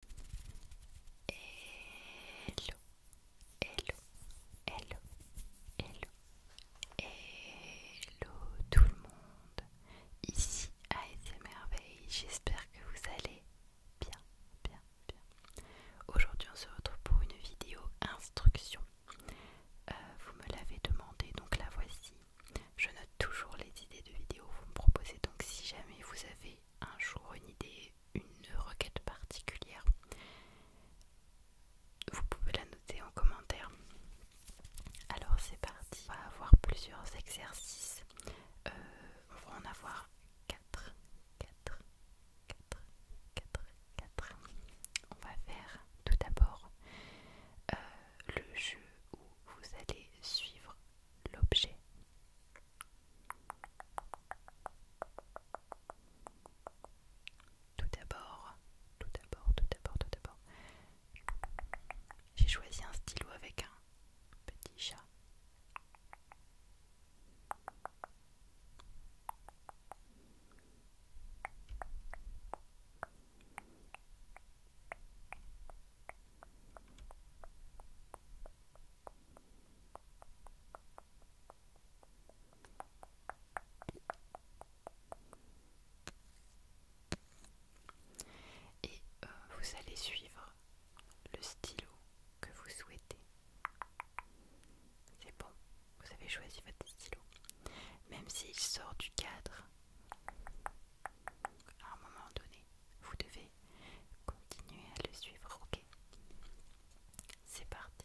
Hello, hello, hello, hello, hello tout le monde. Ici ASMRveille, j'espère que vous allez bien, bien, bien. Aujourd'hui on se retrouve pour une vidéo instruction. Euh, vous me l'avez demandé, donc la voici. Je note toujours les idées de vidéos, vous me proposez donc si jamais vous avez un jour une idée, une requête particulière, vous pouvez la noter en commentaire. Alors c'est parti, on va avoir plusieurs exercices, euh, on va en avoir 4, 4, 4, 4, 4. On va faire tout d'abord euh, le jeu où vous allez suivre l'objet tout d'abord, tout d'abord, tout d'abord, tout d'abord, j'ai choisi un stylo avec un petit chat. Et euh, vous allez suivre le stylo que vous souhaitez. C'est bon, vous avez choisi votre stylo. Même s'il sort du cadre, à un moment donné, vous devez Continuez à le suivre, ok C'est parti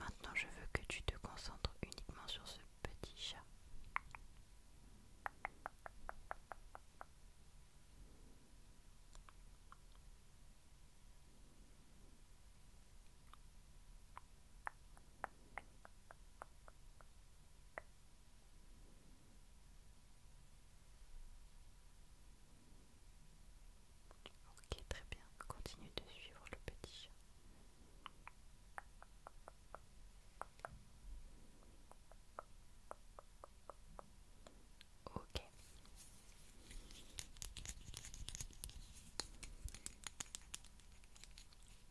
Maintenant, je veux que tu te concentres uniquement sur ce petit chat. Ok, très bien. Continue de suivre le petit Ok,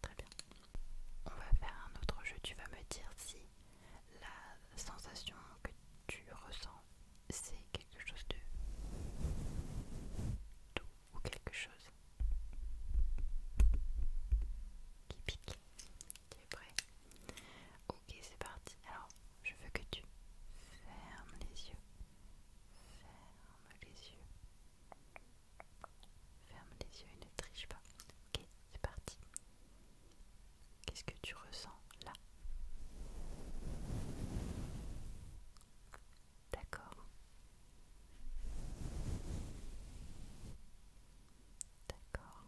Très bien. On va faire un autre jeu. Tu vas me dire si la sensation que tu ressens, c'est quelque chose de doux ou quelque chose qui pique. Tu es prêt Ok, c'est parti. Alors, je veux que tu fermes les yeux ferme les yeux. Ferme les yeux et ne triche pas. Ok, c'est parti. Qu'est-ce que tu ressens là D'accord. D'accord.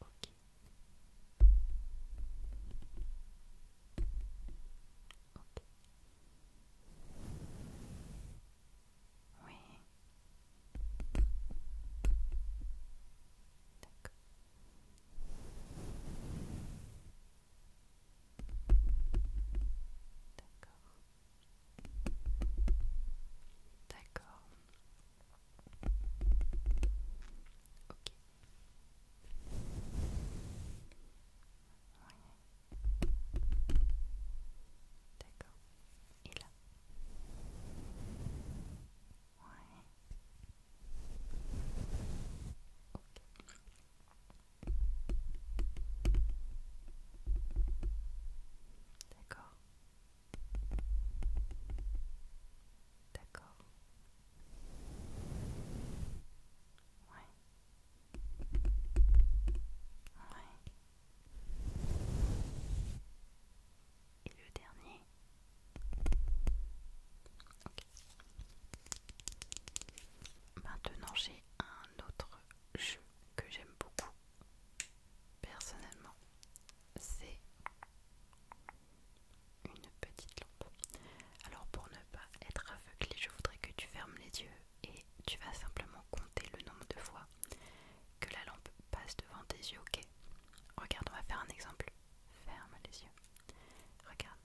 Ok. Oui. D'accord. D'accord. D'accord. Ok. Ouais. D'accord. Et là. Ouais. Ok. D'accord. D'accord. Et le dernier. Maintenant j'ai un autre jeu que j'aime beaucoup personnellement. C'est une petite lampe. Alors pour ne pas être aveuglé, je voudrais que tu fermes les yeux et tu vas simplement compter le nombre de fois que la lampe passe devant tes yeux, ok Regarde, on va faire un exemple. Ferme les yeux. Regarde.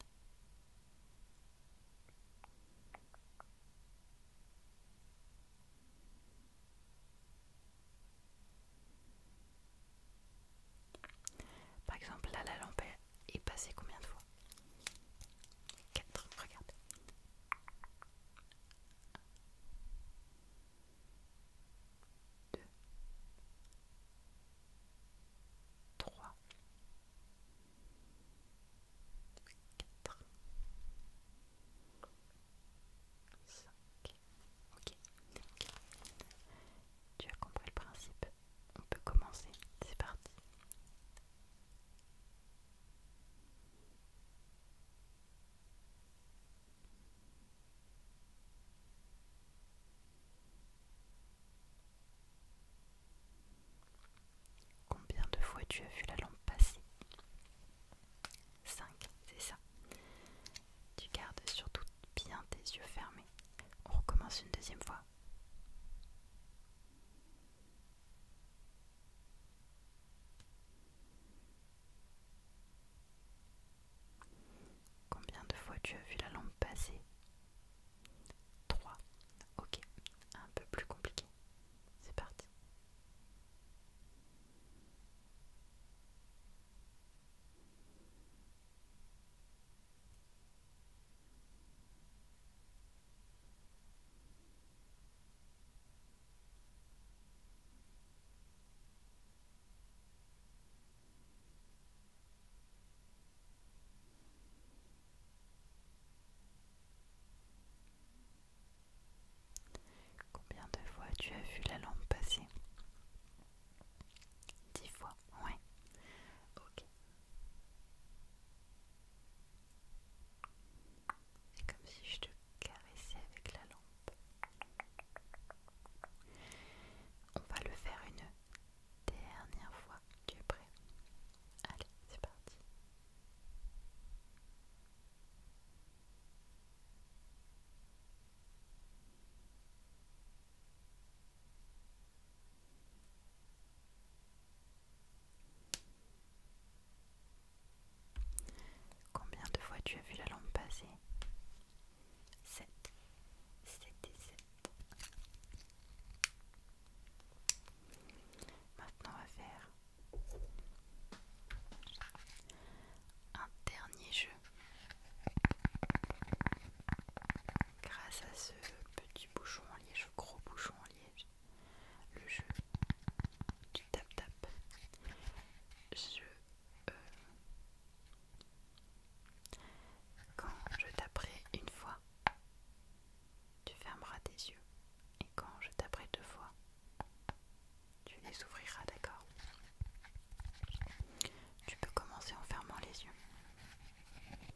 Par exemple, là, la lampe est passée combien de fois 4, Regarde. 2 3 4 5 OK. ok, tu as compris le principe on peut commencer. C'est parti. Combien de fois tu as vu la lampe passer 5, c'est ça. Tu gardes surtout bien tes yeux fermés. On recommence une deuxième fois. Combien de fois tu as vu la lampe passer 3. Ok, un peu plus compliqué. C'est parti. Combien de fois tu as vu la lampe passer Dix fois ouais. Ok. C'est comme si je te caressais avec la lampe. On va le faire une dernière fois. Tu es prêt Allez, c'est parti. Combien de fois tu as vu la lampe passer 7. 7 et 7. Maintenant on va faire un dernier jeu grâce à ce petit bouchon en liège, gros bouchon en liège, le jeu du tap-tap. Je. Euh, quand je taperai une fois, tu fermeras tes yeux. Et quand je taperai deux fois, tu les ouvriras, d'accord Tu peux commencer en fermant les yeux. Très bien.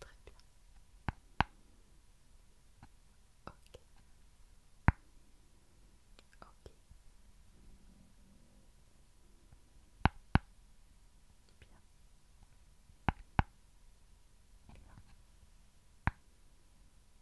Très bien. Ok. Ok. Bien. Bien. Bien.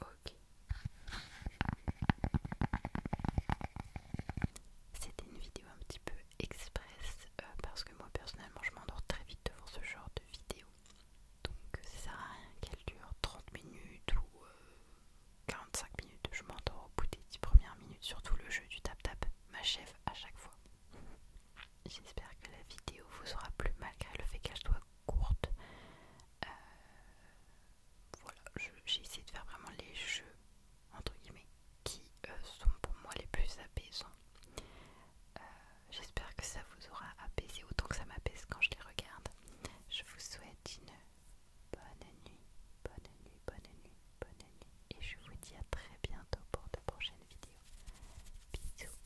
Ok. C'était une vidéo un petit peu express euh, parce que moi personnellement je m'endors très vite devant ce genre de vidéo. Donc ça sert à rien qu'elle dure 30 minutes ou 45 euh, minutes. Je m'endors au bout des 10 premières minutes, surtout le jeu du tap-tap m'achève à chaque fois. J'espère que la vidéo vous aura plu malgré le fait qu'elle soit courte. Euh, voilà, j'ai essayé de faire vraiment les jeux, entre guillemets, qui euh, sont pour moi les plus apaisants. Euh, j'espère que ça vous aura apaisé autant que ça m'apaise quand je les regarde. Je vous souhaite une bonne nuit, bonne nuit, bonne nuit, bonne nuit. Et je vous dis à très bientôt pour de prochaines vidéos. Bisous.